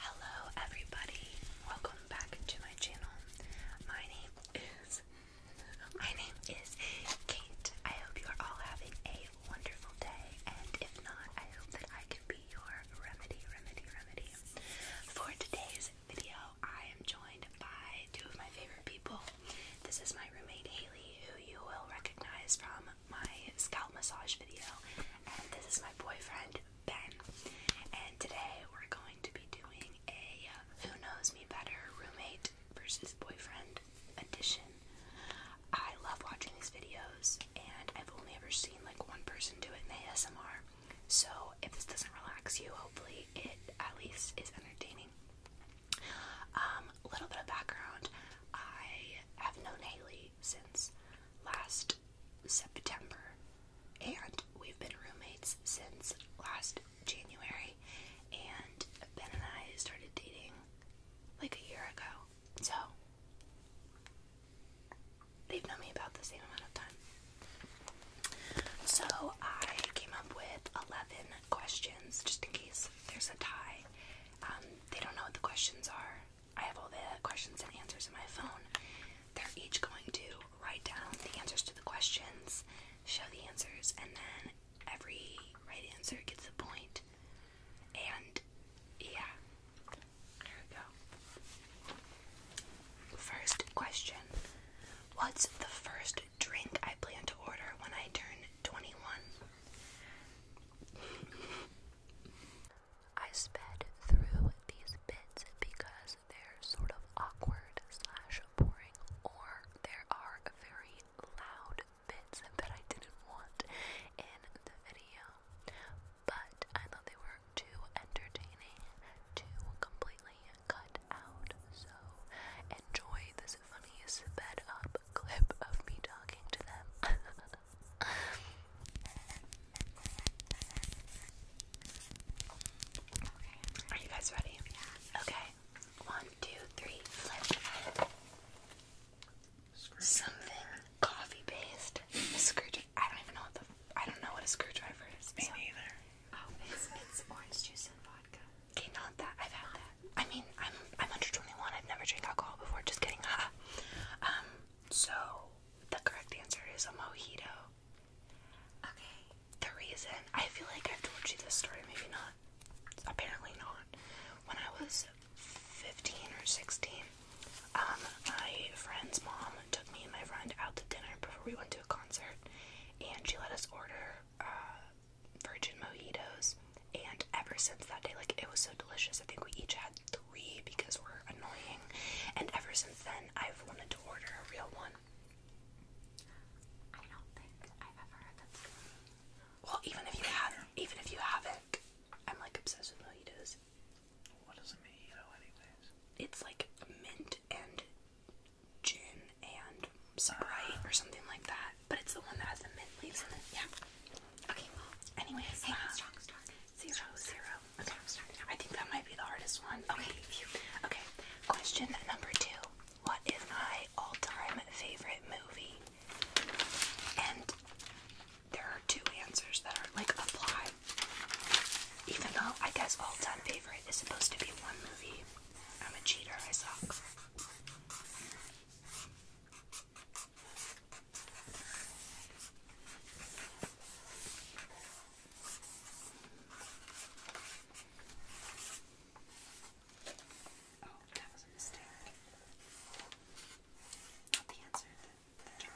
Hello, everybody. Welcome back to my channel. My name is my name is Kate. I hope you are all having a wonderful day, and if not, I hope that I can be your remedy, remedy, remedy. For today's video, I am joined by two of my favorite people. This is my roommate Haley, who you will recognize from my scalp massage video, and this is my boyfriend Ben, and today we're going to be doing a Who Knows Me Better Roommate versus Boyfriend edition. I love watching these videos, and I've only ever seen like one person do it in ASMR. So if this doesn't relax you, hopefully it at least is entertaining. Um, little bit of background: I have known Haley since last September, and we've been roommates since last January. And Ben and I started dating like a year ago, so they've known me about the same amount of time. So I came up with 11 questions just in case there's a tie. Um, they don't know what the questions are, I have all the questions and answers in my phone. They're each going to write down the answers to the questions, show the answers, and then every right answer gets a point. And yeah, here we go. First question What's the first drink I plan to order when I turn 21? I sped through these bits because they're sort of awkward slash boring, or there are very loud bits that I didn't want in the video. But I thought they were too entertaining to completely cut out. So enjoy this funny sped up clip of me talking to them. Are you guys ready? Yeah. Okay. One, two, three, Something coffee based. Screwdriver. I don't even know what the. I don't know what a screwdriver is. Me so. Oh, it's, it's orange juice and vodka. Okay, not that. I've had that. I mean, I'm I'm under 21. I've never drank alcohol before. Just kidding. um. So the correct answer is a mojito. Okay. The reason I feel like I've told you this story, maybe not. Apparently not. When I was 15 or 16, um, my friend's mom took me and my friend out to dinner before we went to a concert, and she let us order uh, virgin mojitos. And ever since that day, like it was so delicious. I think we each had three because we're annoying. And ever since then, I've wanted to order a real one. I don't think I've ever heard that Well, even if you have, even if you haven't, I'm like obsessed with mojitos. What is a mojito, anyways? It's like mint and gin and Sprite or something like that. But it's the one that has the mint leaves in it. Yeah. Okay. Well, anyways, hey, uh, strong start. Zero, zero. Okay, i think that might be the hardest one. Okay, okay. Question number two. What is my all-time favorite movie? And there are two answers that are like applied, Even though I guess all-time favorite is supposed to be one movie. I'm a cheater, I suck. Oh, that was a mistake. the answer, the, the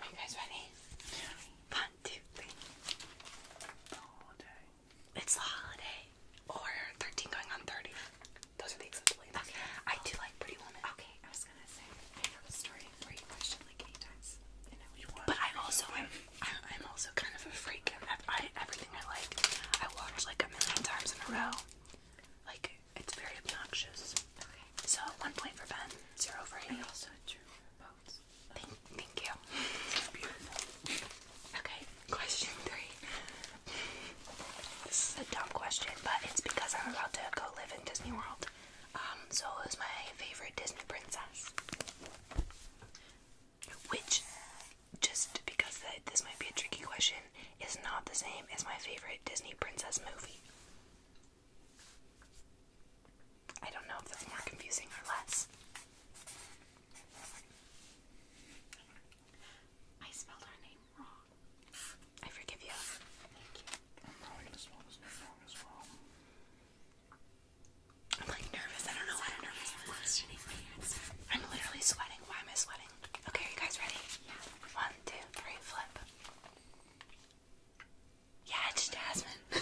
Are you guys ready? One, two, three. It's the holiday. Or 13 going on 30. Those are the acceptable Okay. I do like Pretty Woman. Okay, I was gonna say I know the story where you like eight times. But I also am. I'm, I'm also kind of a freak. I, I everything I like, I watch like a million times in a row. Like it's very obnoxious. Okay. So one point for Ben, zero for you. also true. boats. Thank, thank you. beautiful. Okay, question three. This is a dumb question, but it's because I'm about to go live in Disney World. Um, so who's my favorite Disney princess? Which, just because this might be a tricky question, is not the same as my favorite Disney princess movie. I don't know if that's more confusing or less. I spelled her name wrong. I forgive you. Thank you. I'm probably gonna spell this name wrong I'm like nervous. I don't know why I'm nervous. I'm literally sweating. Why am I sweating? Okay, are you guys ready? Yeah. One, two, three, flip. Yeah, it's Jasmine.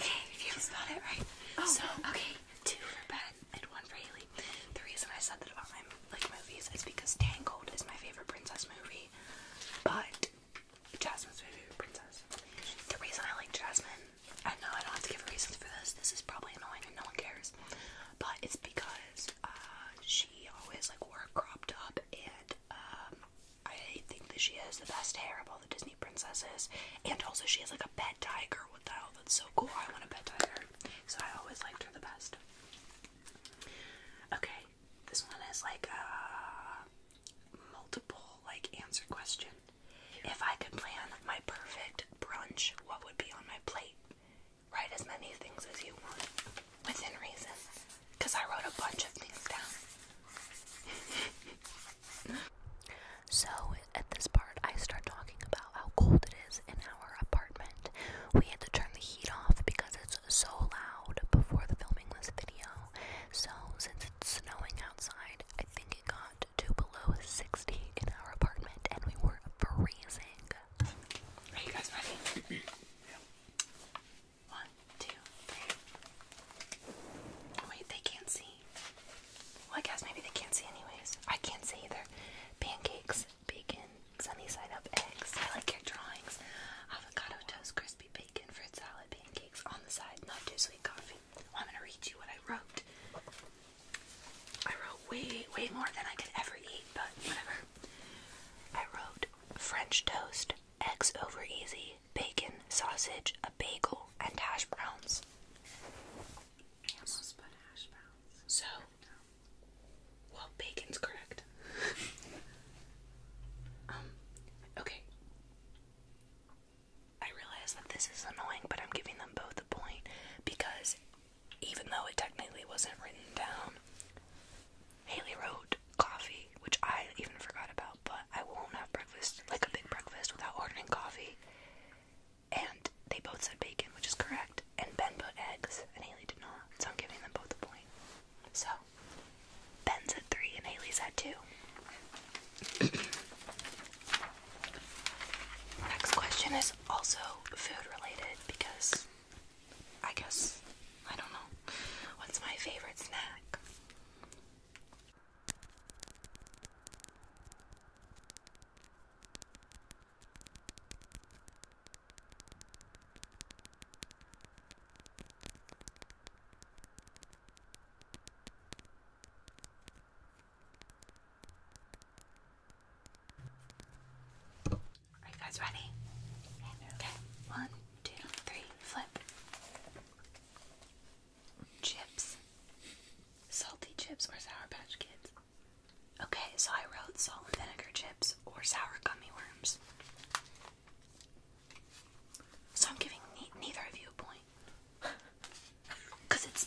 okay, if you spelled it right. Oh, okay. Two for Ben and one for Haley. The reason I said that about my like movies is because Tangled is my favorite princess movie, but Jasmine's my favorite princess. The reason I like Jasmine, I know I don't have to give reasons for this. This is probably annoying and no one cares, but it's because uh, she always like wore a crop top, and um, I think that she has the best hair of all the Disney princesses, and also she has like a pet tiger. What the hell? That's so cool. I want a pet tiger so I always liked her the best. Okay, this one is like a multiple like answer question. If I could plan my perfect brunch, what would be on my plate? Write as many things as you want within reason, because I wrote a bunch of things down. so at this part, I start talking about how cold it is in our apartment. We had to turn the heat off because it's so loud before the filming this video. So, since it's snowing outside, I think it got to below 60 in our apartment and we were freezing. Are you guys ready? One, two, three. Wait, they can't see. Well, I guess maybe they can't see, anyways. I can't see either. Pancakes bacon, sunny side up eggs. I like your drawings. Avocado toast, crispy bacon, fruit salad, pancakes on the side. Not too sweet coffee. I'm gonna read you what I wrote. I wrote way, way more than I could ever eat, but whatever. I wrote French toast, eggs over easy, bacon, sausage, a bagel, and hash browns. I almost hash browns. So, well, bacon's correct. Um, okay. I realize that this is annoying, but I'm giving them both a point because even though it technically wasn't written down, Haley wrote coffee, which I even forgot about, but I won't have breakfast, like a big breakfast, without ordering coffee and they both said bacon, which is correct. And Ben put eggs, and Haley did not. So I'm giving them both a point. So Ben's at three, and Haley's at two. Next question is also food related because I guess I don't know what's my favorite snack. Are you guys ready? Okay, one, two, three, flip. Chips. Salty chips or Sour Patch Kids? Okay, so I wrote salt and vinegar chips or sour gummy worms. So I'm giving neither of you a point. Cause it's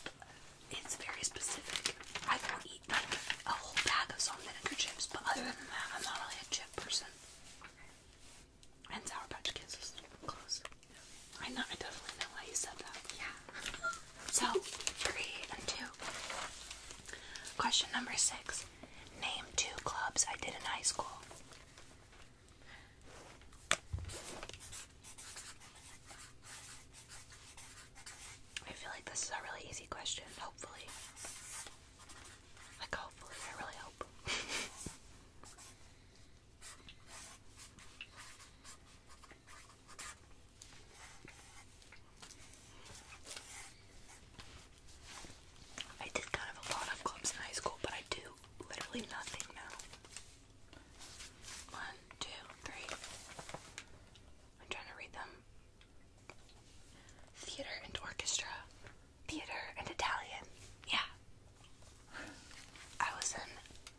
it's very specific. I will eat like a whole bag of salt and vinegar chips, but other than that, I'm not really a chip person. And sour patch kids is close. I know. I definitely know why you said that. Yeah. So, three and two. Question number six Name two clubs I did in high school. I feel like this is a really easy question, hopefully. Like, hopefully, I really hope. I did kind of a lot of clubs in high school, but I do literally nothing now. One, two, three. I'm trying to read them. Theater and orchestra. Theater and Italian. Yeah. I was in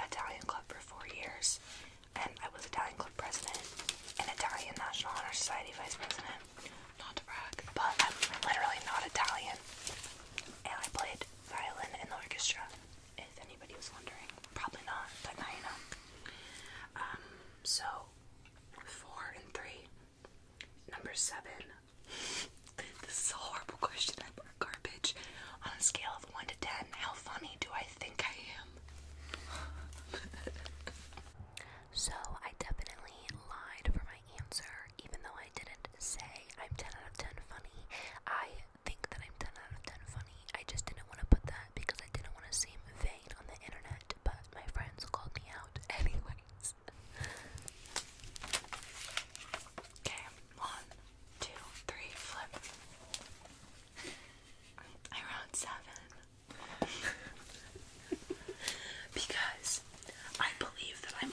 Italian club for four years and I was Italian Club president and Italian National Honor Society vice president. Not to brag, but I'm literally not Italian. And I played violin in the orchestra. If anybody was wondering, probably not, but now you know. Um, so four and three. Number seven. this is a horrible question. I garbage. On a scale of one to ten, how funny do I think I am. so I definitely lied for my answer, even though I didn't say I'm 10 out of 10 funny. I think that I'm 10 out of 10 funny. I just didn't want to put that because I didn't want to seem vain on the internet, but my friends called me out anyways. Okay, one, two, three, flip. I wrote seven. because I believe that I'm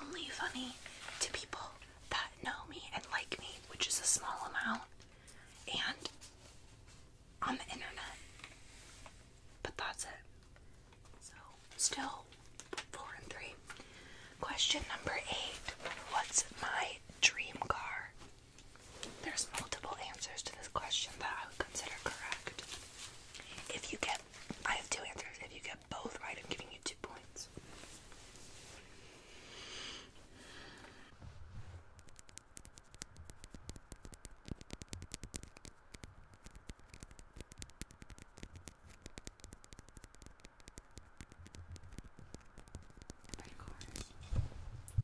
only funny to people that know me and like me, which is a small amount, and on the internet. But that's it. So, still four and three. Question number eight What's my dream car? There's multiple answers to this question that I would consider correct. If you get, I have two answers. If you get both right, I'm giving you two points.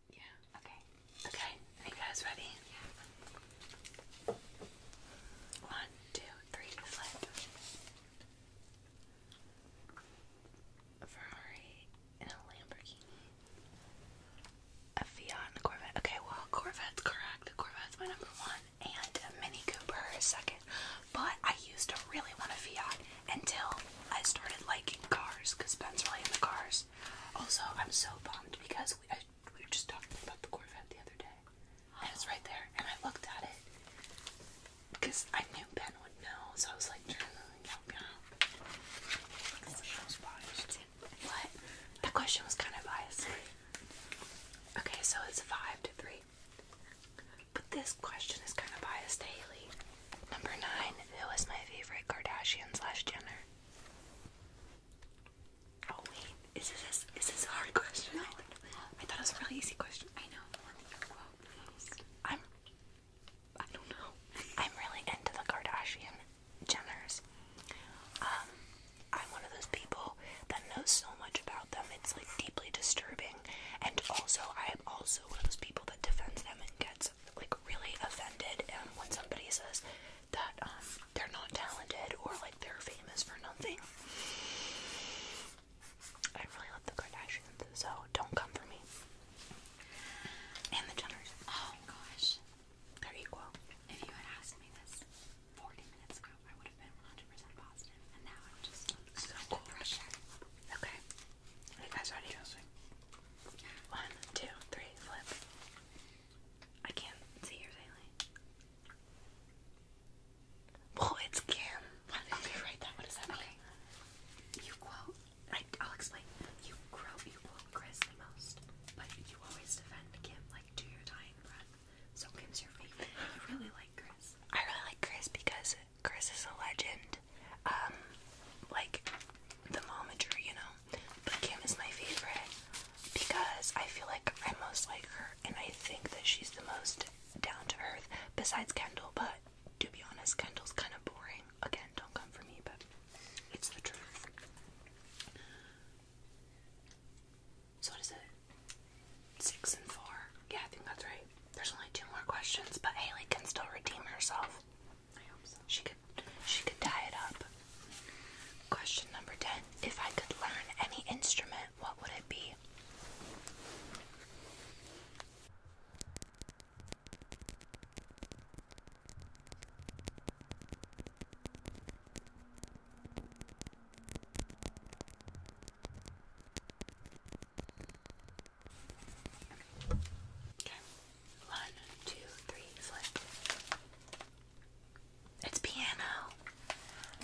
Yeah. Okay. Okay. Are you guys ready? Yeah. One, two, three, flip. Ferrari and a Lamborghini. A Fiat and a Corvette. Okay, well, Corvette's correct. Corvette's my number one, and a Mini Cooper second. But I used to really want a Fiat, until I started liking cars because Ben's really into cars. Also, I'm so bummed because we, we were just talking about the Corvette the other day. And was right there, and I looked at it because I knew Ben would know, so I was like, trying to like help you out. What? That question was kind of biased. Okay, so it's a five to three. But this question is kind of biased Haley. Number nine, who is my favorite Kardashian slash Jenner? Oh wait, is this is this hard question? I thought it was a really easy question. I know. I'm I don't know. I'm really into the Kardashian Jenners. Um, I'm one of those people that knows so much about them. It's like deeply disturbing, and also I am also one of those people that defends them and get like really offended and um, when somebody says that um, they're not talented or like they're famous for nothing. I really love the Kardashians, so don't come for me. And the Jenners. Oh gosh. They're equal. If you had asked me this 40 minutes ago, I would have been 100% positive, and now I'm just so cool. Okay. You guys ready? One, two, three, flip. I can't see yours, Haley. Oh, it's Kim. okay, write that. What does that Okay. You quote. I, I'll explain. You quote. You quote Chris the most, but you always defend Kim like to your dying breath. So Kim's your favorite. You really like Chris. I really like Chris because Chris is a legend. Um, like the momager, you know. But Kim is my favorite because I feel like I most like her, and I think that she's the most down to earth. Besides Kendall, but to be honest, Kendall's kind of boring. Again, don't come for me, but it's the truth. So what is it? Six and four. Yeah, I think that's right. There's only two more questions, but Haley can still redeem herself. She could she could tie it up. Question number ten. If I could learn any instrument, what would it be? One, two, three, flip. It's piano.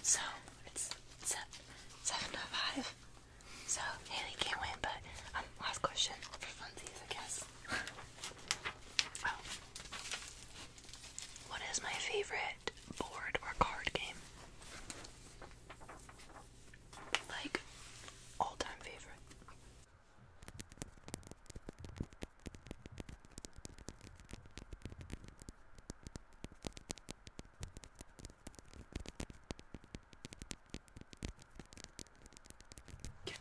So it's seven, seven oh to five. So Haley can't win, but um, last question for funsies, I guess. oh. What is my favorite board or card game? Like all-time favorite. Yes.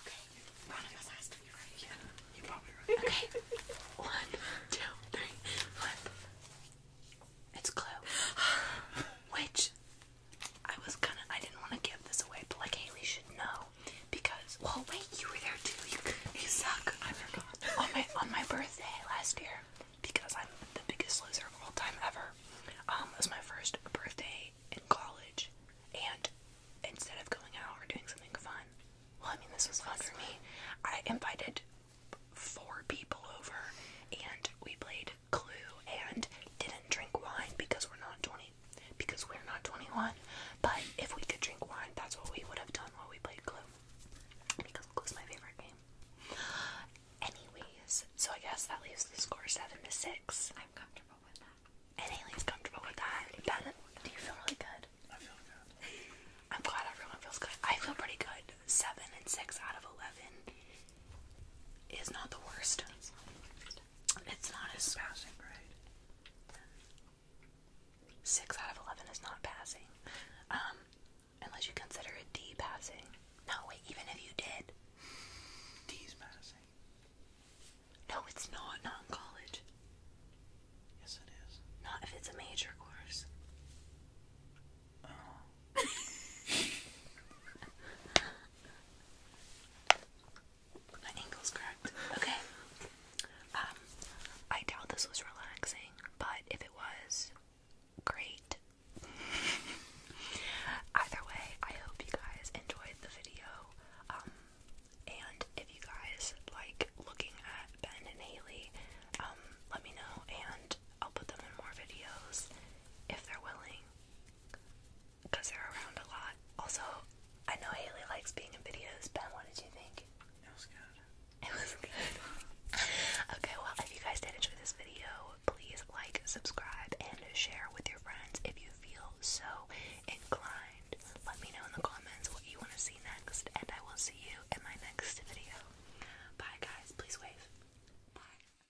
Okay, one of us has to be right. Yeah, you're probably right. Okay, one, two, three, flip. It's Clue. Which I was gonna, I didn't want to give this away, but like Haley should know because, well, wait, you were there too. You, suck. on my on my birthday last year, because I'm the biggest loser of all time ever. Um, it was my first birthday in college, and instead of going out or doing something fun, well, I mean this was fun for me. I invited four people over, and we played Clue and didn't drink wine because we're not 20 because we're not 21 but if we could drink wine that's what we would have done while we played Clue because Clue is my favorite game anyways so i guess that leaves the score 7 to 6 i'm comfortable with that and Aileen's comfortable with that. that do you feel really good i feel good i'm glad everyone feels good i feel pretty good 7 and 6 out of 11 is not the worst. It's not the worst. It's not as passing grade. Six out of eleven is not passing, um, unless you consider it D passing. No, wait. Even if you did, D's passing. No, it's not. Not in college. Yes, it is. Not if it's a major course. Oh. My ankle's cracked. Okay. Um, I doubt this was relaxing, but if it was, great. Either way, I hope you guys enjoyed the video. Um, and if you guys like looking at Ben and Haley, um, let me know and I'll put them in more videos if they're willing because they're around a lot. Also, I know Haley likes being in videos. Ben, what did you think? It was good. It was good. okay, well, if you guys did enjoy this video, please like, subscribe, and share with your friends if you feel so inclined. Let me know in the comments what you want to see next, and I will see you in my next video. Bye, guys. Please wave. Bye.